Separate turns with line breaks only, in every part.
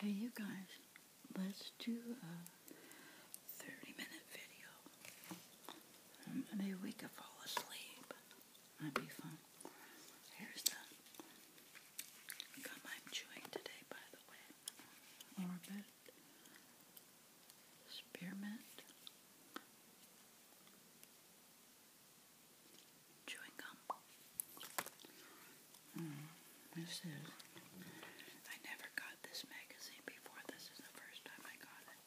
Hey you guys, let's do a 30 minute video. maybe we could fall asleep. That'd be fun. Here's the gum I'm chewing today, by the way. Orbit. Spearmint chewing gum. Mm, this is. I never got this magazine before. This is the first time I got it.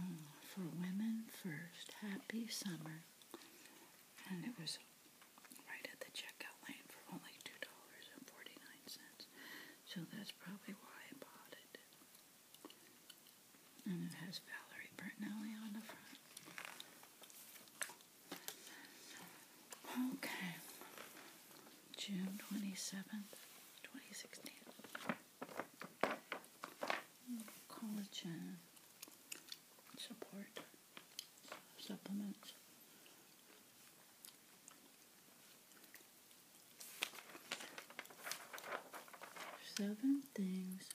Mm, for women first, happy summer. And it was right at the checkout line for only two dollars and forty nine cents. So that's probably why I bought it. And it has Valerie Bertinelli on the front. Okay. June 27th, 2016. Collagen support supplements. Seven things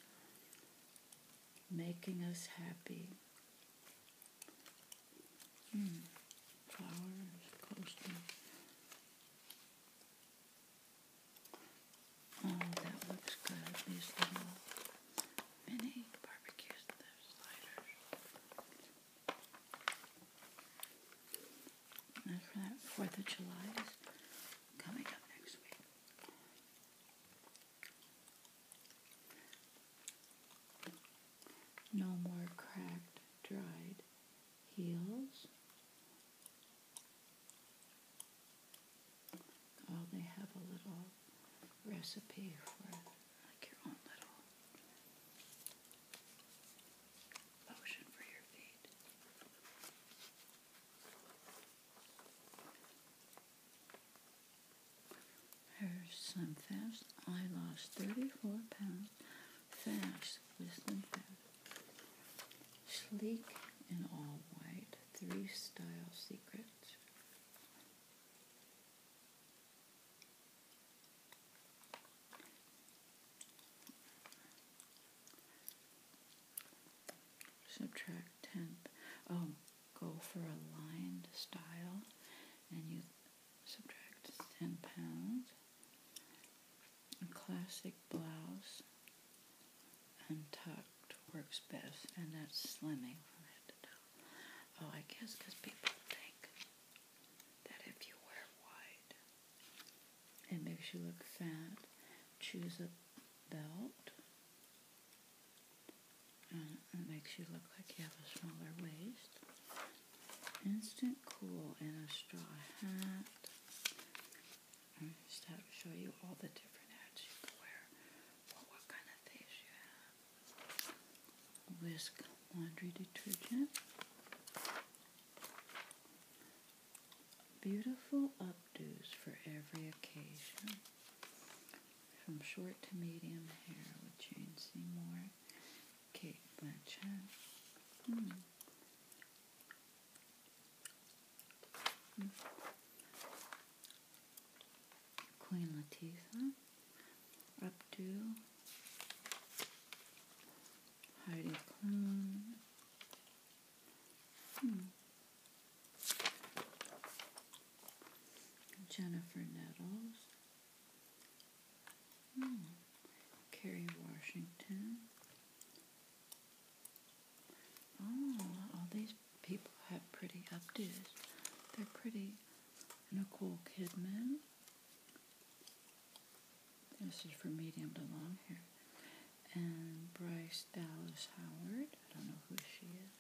making us happy. Hmm, flowers, coasting. Oh, that looks good. These little mini barbecues, the sliders. And for that Fourth of July is coming up next week. No more cracked, dried heels. Oh, they have a little recipe for your own little lotion for your feet. Here's some fast. I lost 34 pounds fast with some fast. Sleek and all white. Three style secrets. Subtract 10. Oh go for a lined style and you subtract 10 pounds. A classic blouse and untucked works best, and that's slimming from head to toe. Oh, I guess because people think that if you wear wide, it makes you look fat. Choose a belt it makes you look like you have a smaller waist. Instant cool in a straw hat. just to show you all the different hats you can wear. what kind of face you have. Whisk laundry detergent. Beautiful updos for every occasion. From short to medium hair with Jane Seymour, Kate Blanchett. Hmm. Queen Letizia, updo. Heidi Klum. Hmm. Jennifer Nettles, hmm. Carrie Washington. Oh, all these people have pretty updos. They're pretty. Nicole Kidman. This is for medium to long hair and Bryce Dallas Howard. I don't know who she is.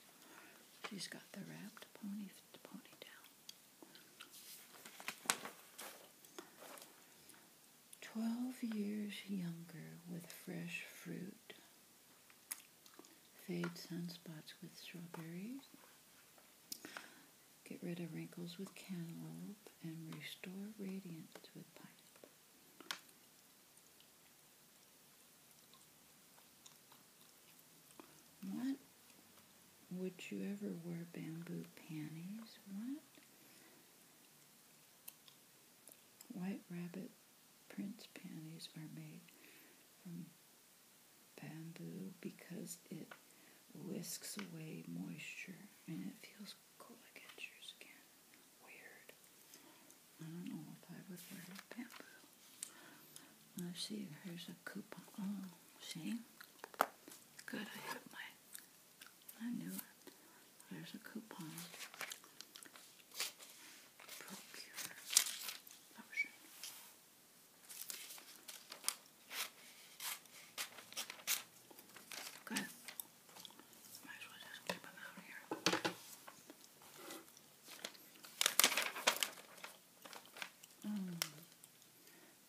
She's got the wrapped pony ponytail. Twelve years younger with fresh fruit. Fade sunspots with strawberries. Get rid of wrinkles with cantaloupe and restore radiance with pineapple. What would you ever wear bamboo panties? What? White rabbit prince panties are made from bamboo because it whisks away moisture and it feels cool against your skin. Weird. I don't know if I would wear bamboo. Let's see, here's a coupon. Oh, see? Good, I have my. I knew it. There's a coupon. Procure Mm.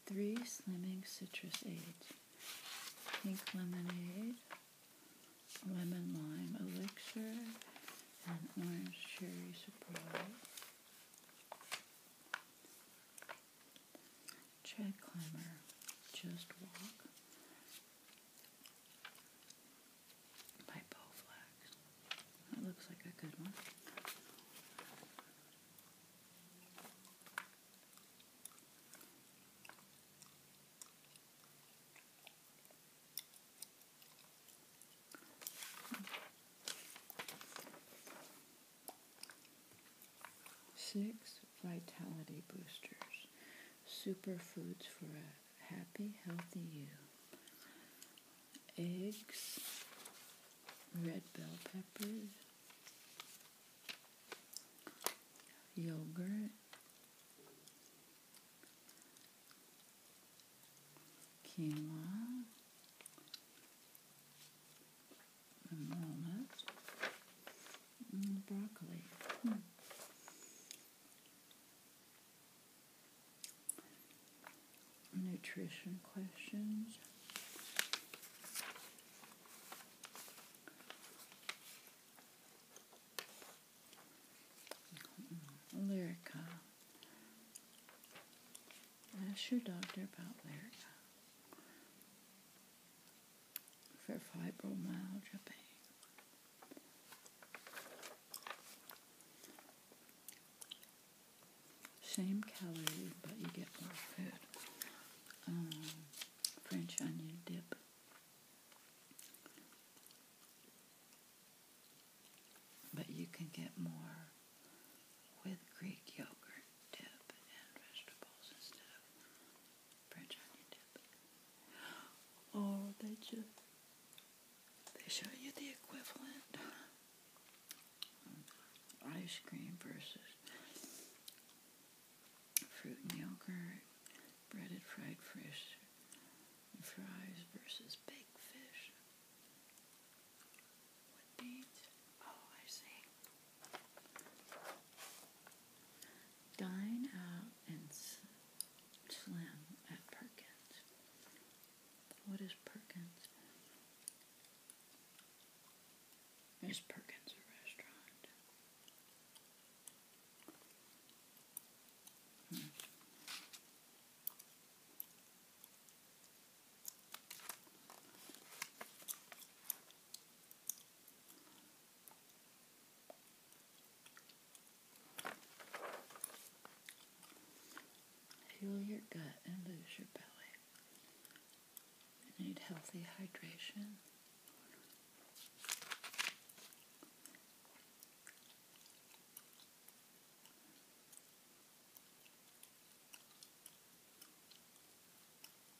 three slimming citrus aids. Pink lemonade, lemon lime elixir, and orange cherry surprise. Tread climber, just walk by That looks like a good one. Six vitality boosters, superfoods for a happy, healthy you. Eggs, red bell peppers, yogurt, quinoa, and broccoli. Hmm nutrition questions. Lyrica. Ask your doctor about Lyrica for fibromyalgia pain. Same calorie, but you get more food. Um, French onion dip. But you can get more with Greek yogurt dip and vegetables instead of French onion dip. Or they just they show you the equivalent ice cream versus fruit and yogurt, breaded fried fish, fries versus baked fish with beans. Oh, I see. Dine out and slam at Perkins. What is Perkins? Is Perkins a restaurant? Hmm. Fuel your gut and lose your belly. need healthy hydration.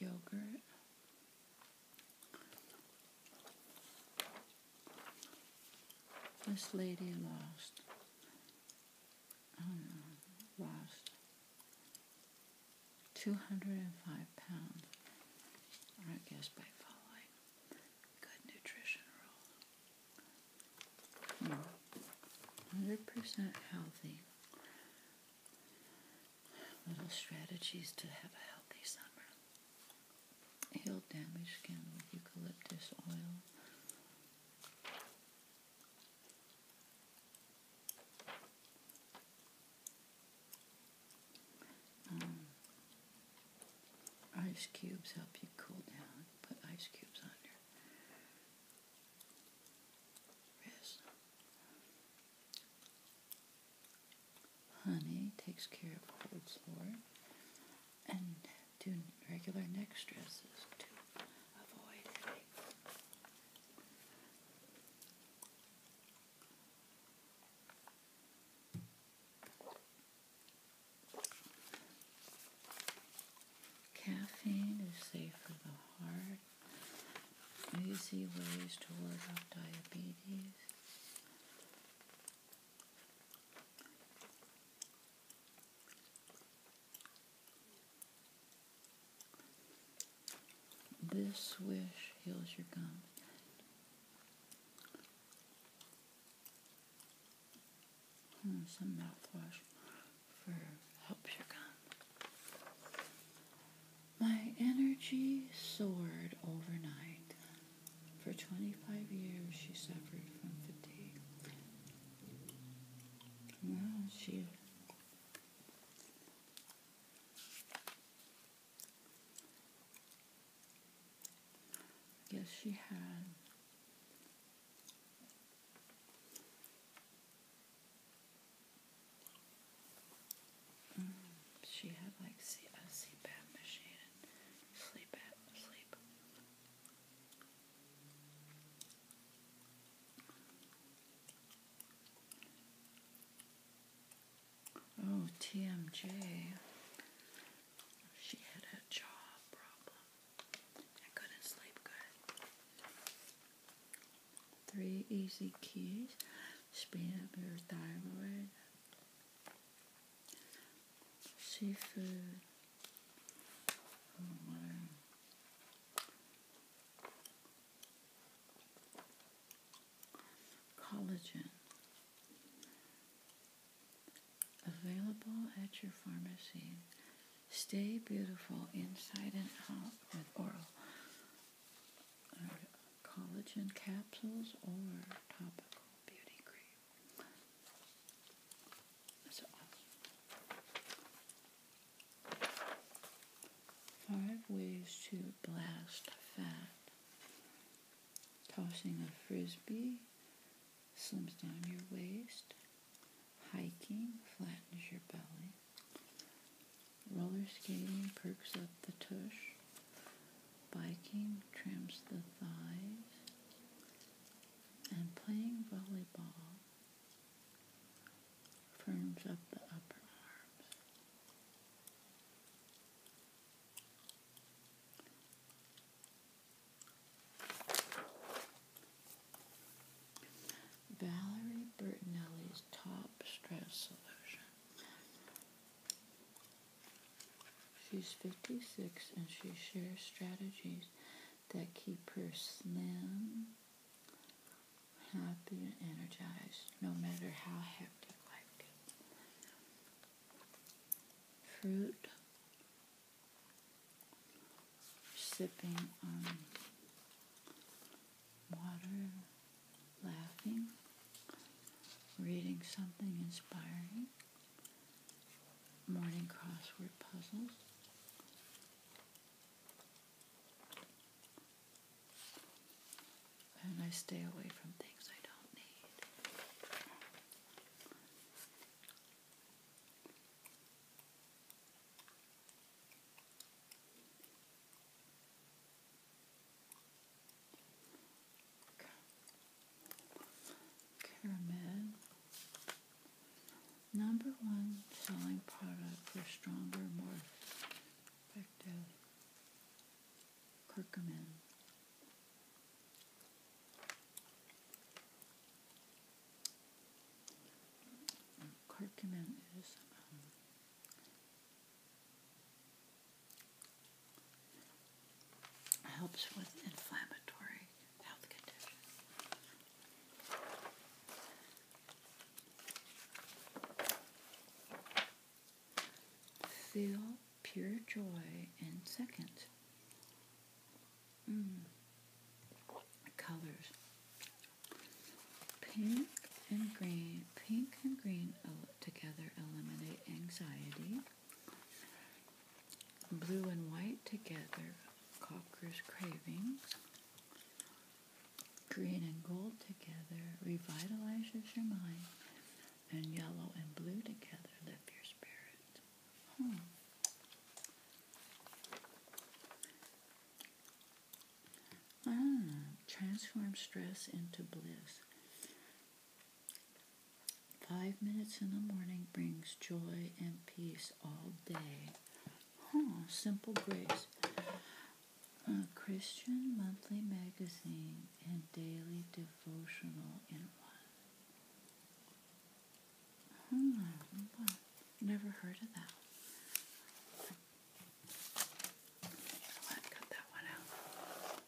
yogurt this lady lost Oh, lost 205 pounds, I guess by following good nutrition rules. 100% hmm. healthy. Little strategies to have a healthy summer. Heal damaged skin with eucalyptus oil. Um, ice cubes help you cool down. Put ice cubes on your wrist. Honey takes care of cold sore and do regular neck stretches to avoid headaches. Caffeine is safe for the heart. Easy ways to ward off diabetes. This wish heals your gums. Hmm, some mouthwash for helps your gum. My energy soared overnight. For 25 years, she suffered from fatigue. Now she Yes, she had. Mm, she had like a CPAP machine, sleep, sleep Oh, TMJ. She had a jaw problem couldn't sleep good. Three easy keys speed up your thyroid. Seafood. Oh, Collagen. Available at your pharmacy. Stay beautiful inside and out with oral uh, collagen capsules or topical beauty cream. Five ways to blast fat. Tossing a frisbee slims down your waist. Hiking flattens your belly. Roller skating perks up the tush. Biking trims the thighs. And playing volleyball Valerie Bertinelli's top stress solution. She's 56 and she shares strategies that keep her slim happy and energized no matter how hectic life gets. Fruit, sipping on water, laughing, reading something inspiring, morning crossword puzzles, and I stay away from things I don't need. Caramel number one selling product for stronger, more effective curcumin. Curcumin is um, helps with inflammatory Feel pure joy in seconds. Mm. Colors. Pink and green. Pink and green together eliminate anxiety blue and white together, Cocker's Cravings. Green and gold together revitalizes your mind, and yellow and blue together lift your spirit. Hmm. Ah, transform stress into bliss. Five minutes in the morning brings joy and peace all day. Huh, Simple Grace. Christian monthly magazine and daily devotional in one. Hmm, never heard of that. Cut that one out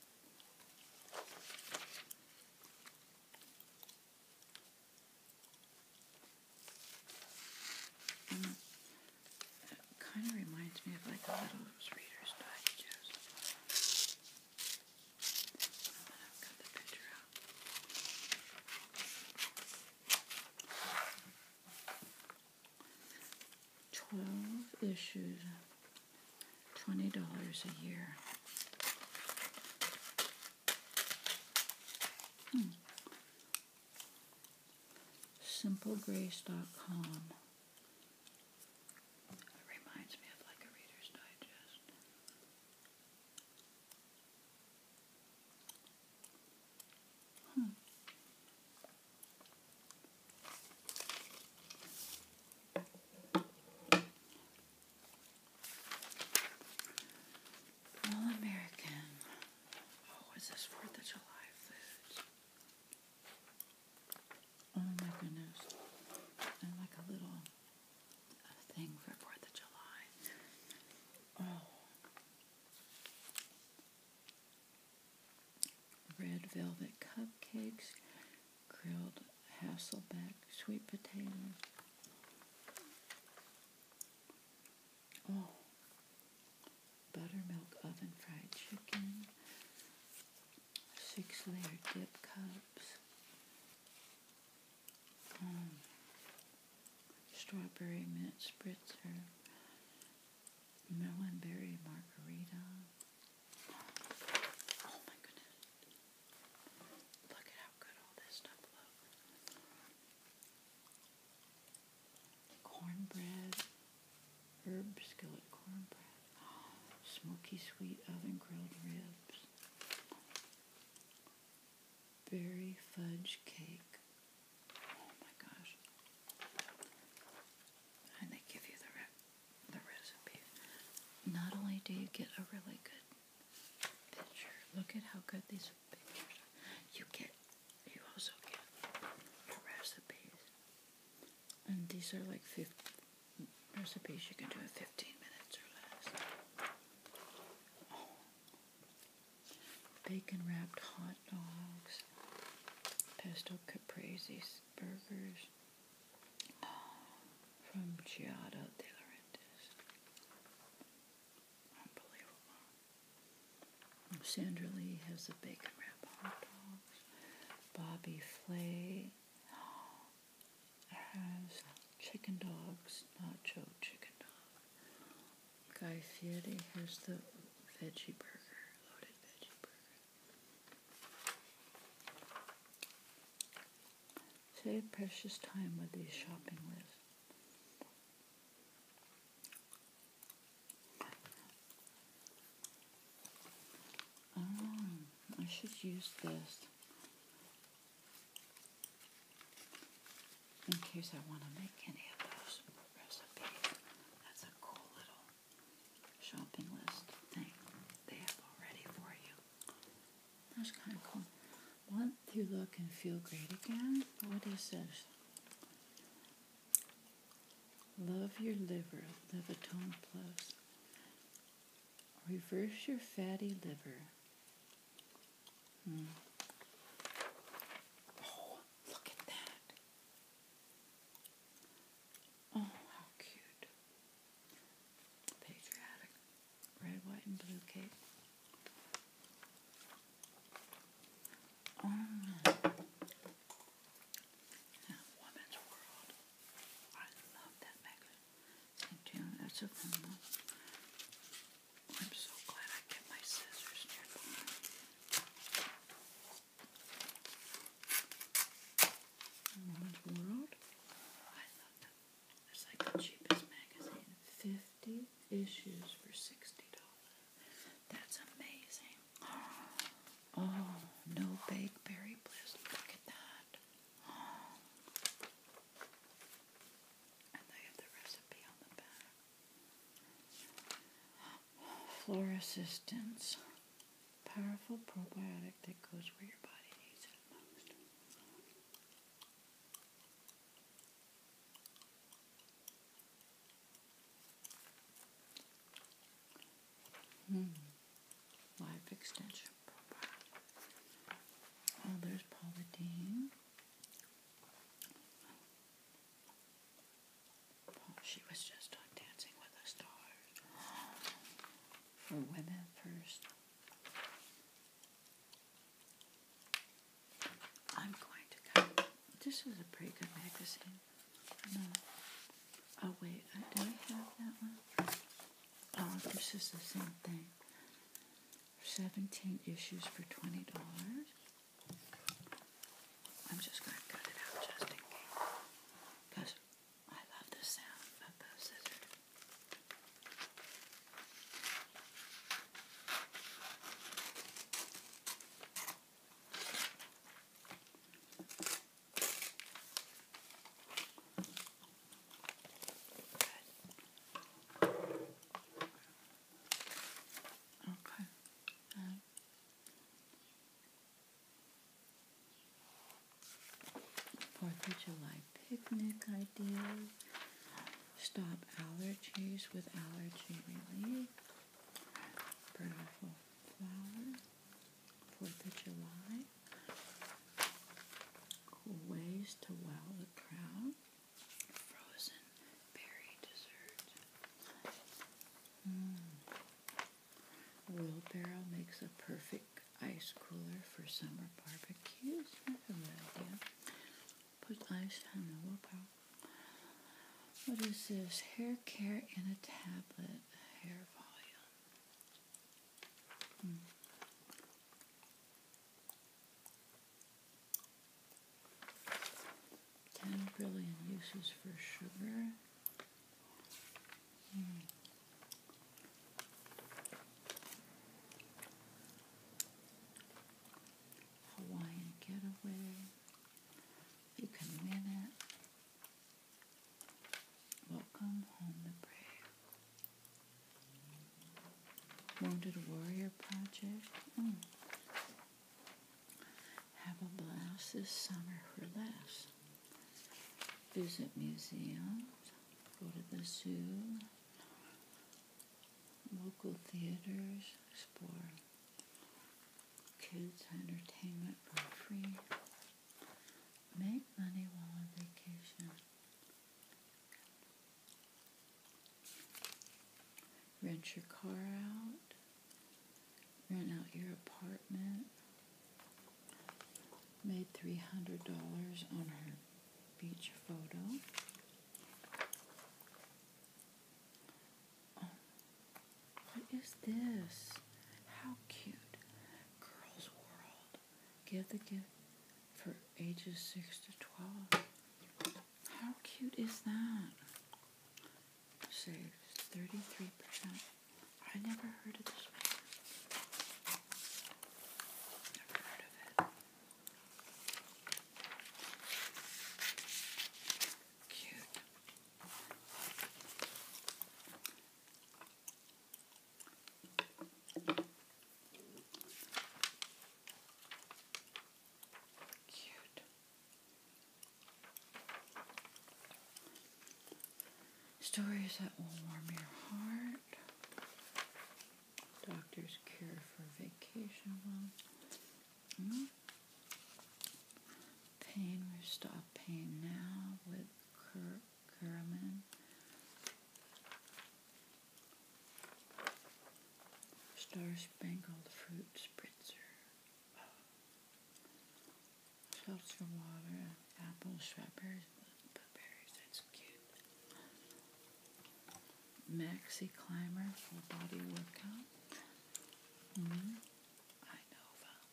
it kind of reminds me of like a little Reader's Digest. Twelve issues, twenty dollars a year. Hmm. SimpleGrace.com. It reminds me of like a Reader's Digest. Hmm. All American. Oh, is this Fourth of July food? Oh my goodness. And like a little thing for Fourth of July. Oh. Red velvet cupcakes, grilled Hasselback sweet potatoes. Oh, buttermilk oven fried chicken, six layer dip cups, um, strawberry mint spritzer, melon berry margarita. Oh my goodness. Cornbread, herb skillet cornbread, smoky sweet oven grilled ribs, berry fudge cake. Oh my gosh! And they give you the the recipe. Not only do you get a really good Look at how good these pictures You get, you also get your recipes. And these are like recipes you can do in 15 minutes or less. Bacon wrapped hot dogs, pesto caprese burgers from Giotto de Laurentiis. Unbelievable. Sandra Lee has the bacon wrap hot dogs. Bobby Flay has chicken dogs, nacho chicken dog. Guy Fieri has the veggie burger, loaded veggie burger. Save precious time with these shopping lists. Um, I should use this in case I want to make any of those recipes. That's a cool little shopping list thing they have already for you. That's kind of cool. Want to look and feel great again? What is this? Love your liver, Levitone Plus. Reverse your fatty liver. Hmm. Oh, look at that. Oh, how cute. Patriotic red, white, and blue cake. Um, now, Woman's World. I love that magazine. St. June, that's a fun I'm so glad I kept my scissors nearby. Woman's World. I love that it's like the cheapest magazine. Fifty issues for sixty dollars. That's amazing. Oh, no bake berry bliss. Look at that. Oh. And they have the recipe on the back. Oh, Flora Assistance. Powerful probiotic that goes where your body needs it most. Hmm. Life extension Oh, there's Paula Dean. Oh, she was just on Dancing with the Stars. For women first. I'm going to cut. This was a pretty good magazine. Oh, wait. Uh, do I have that one? Oh, this is the same thing. 17 issues for $20. I'm just going to cut it out just in case. Because I love the sound of those scissors. Okay. Um, Fourth of July picnic ideas. Stop allergies with allergy relief. Beautiful flower. Fourth of July. ways to wow the crowd. Frozen berry dessert. Mm. Wheelbarrow makes a perfect ice cooler for summer barbecues. That's a good idea. Put ice on the willpower. What is this? Hair care in a tablet. Hair volume. Hmm. Ten billion uses for sugar. Hawaiian getaway. You can win it. Welcome home the brave. Wounded Warrior Project. Mm. Have a blast this summer for less visit museums, go to the zoo, local theaters, explore kids' entertainment for free, make money while on vacation, rent your car out, rent out your apartment. Made $300 on her beach photo. Oh, what is this? How cute. Girls World. Give the gift for ages 6 to 12. How cute is that? Saves 33% I never heard of this one. Never heard of it. Cute. Cute. Stories that will warm your heart. Doctor's cure for vacation well. Hmm. Pain, we stop pain now with Kur Star Spangled Fruit Spritzer seltzer water, apple shredders, peppers. That's cute. Maxi climber full body workout. -hmm. I know about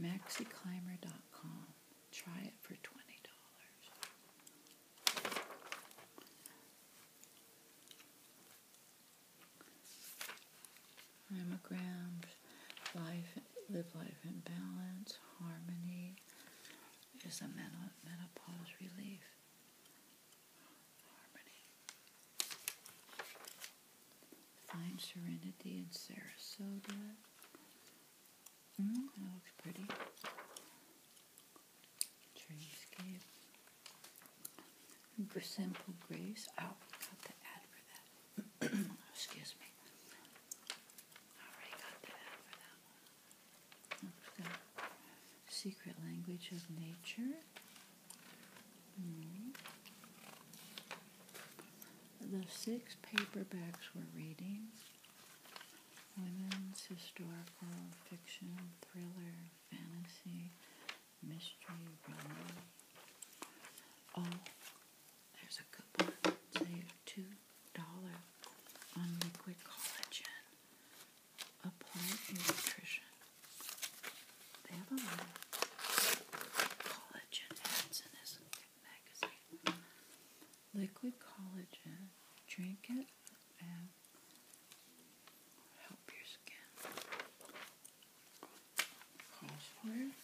maxiclimber.com. Try it for twenty dollars. Mammograms, life, live life in balance, harmony is a menopause relief. Harmony. Find serenity in Sarasota. Mm, that looks pretty. Dreamscape. Simple grace. Oh, got the ad for that. Excuse me. The secret language of nature. Hmm. The six paperbacks we're reading women's historical fiction, thriller, fantasy, mystery, romance. All oh, there's a coupon save two dollar on liquid collagen. Applied nutrition. They have a lot of collagen ads in this magazine. Liquid collagen. Drink it and help your skin. Calls for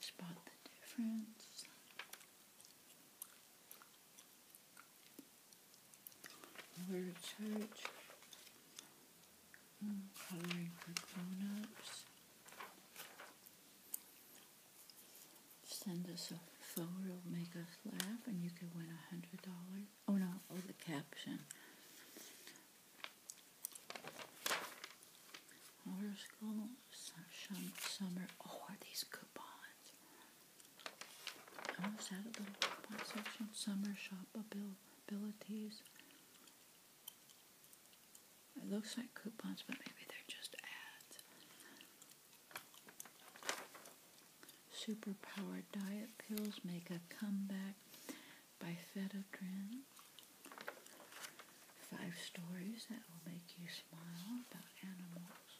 Spot the difference. Where to church. Mm, coloring for grown Send us a photo, make us laugh, and you can win a hundred dollars. Oh no! Oh, the caption. Motor summer. Oh, are these coupons? I was out of the coupon section. Summer shop abilities. It looks like coupons, but maybe they're just ads. Superpower diet pills make a comeback by Phedodrin. Five stories that will make you smile about animals.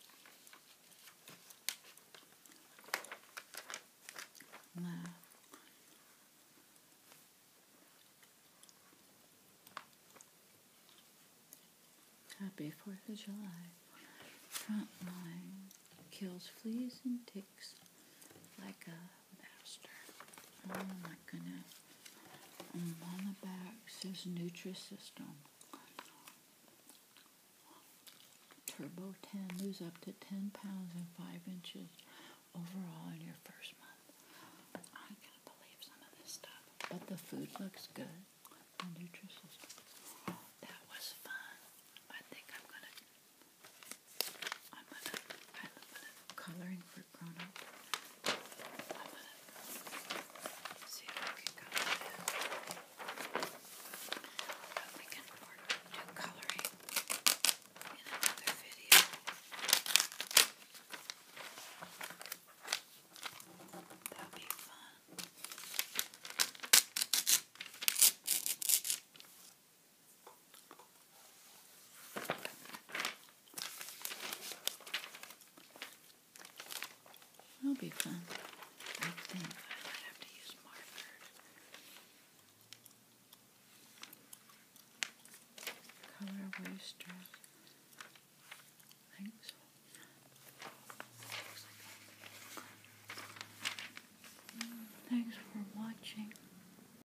Wow. Happy 4th of July. Frontline kills fleas and ticks like a Baxter. Oh my goodness. on the back says Nutrisystem. Turbo 10 lose up to 10 pounds and 5 inches overall in your first month. I can't believe some of this stuff. But the food looks good. Nutrisystem. That was fun. I think I'm going to I'm gonna, I love coloring for grown up. I'm gonna see if we can go But we can do coloring in another video. That'll be fun that will be fun. I think I might have to use Marford. Color waster. I Thanks for watching.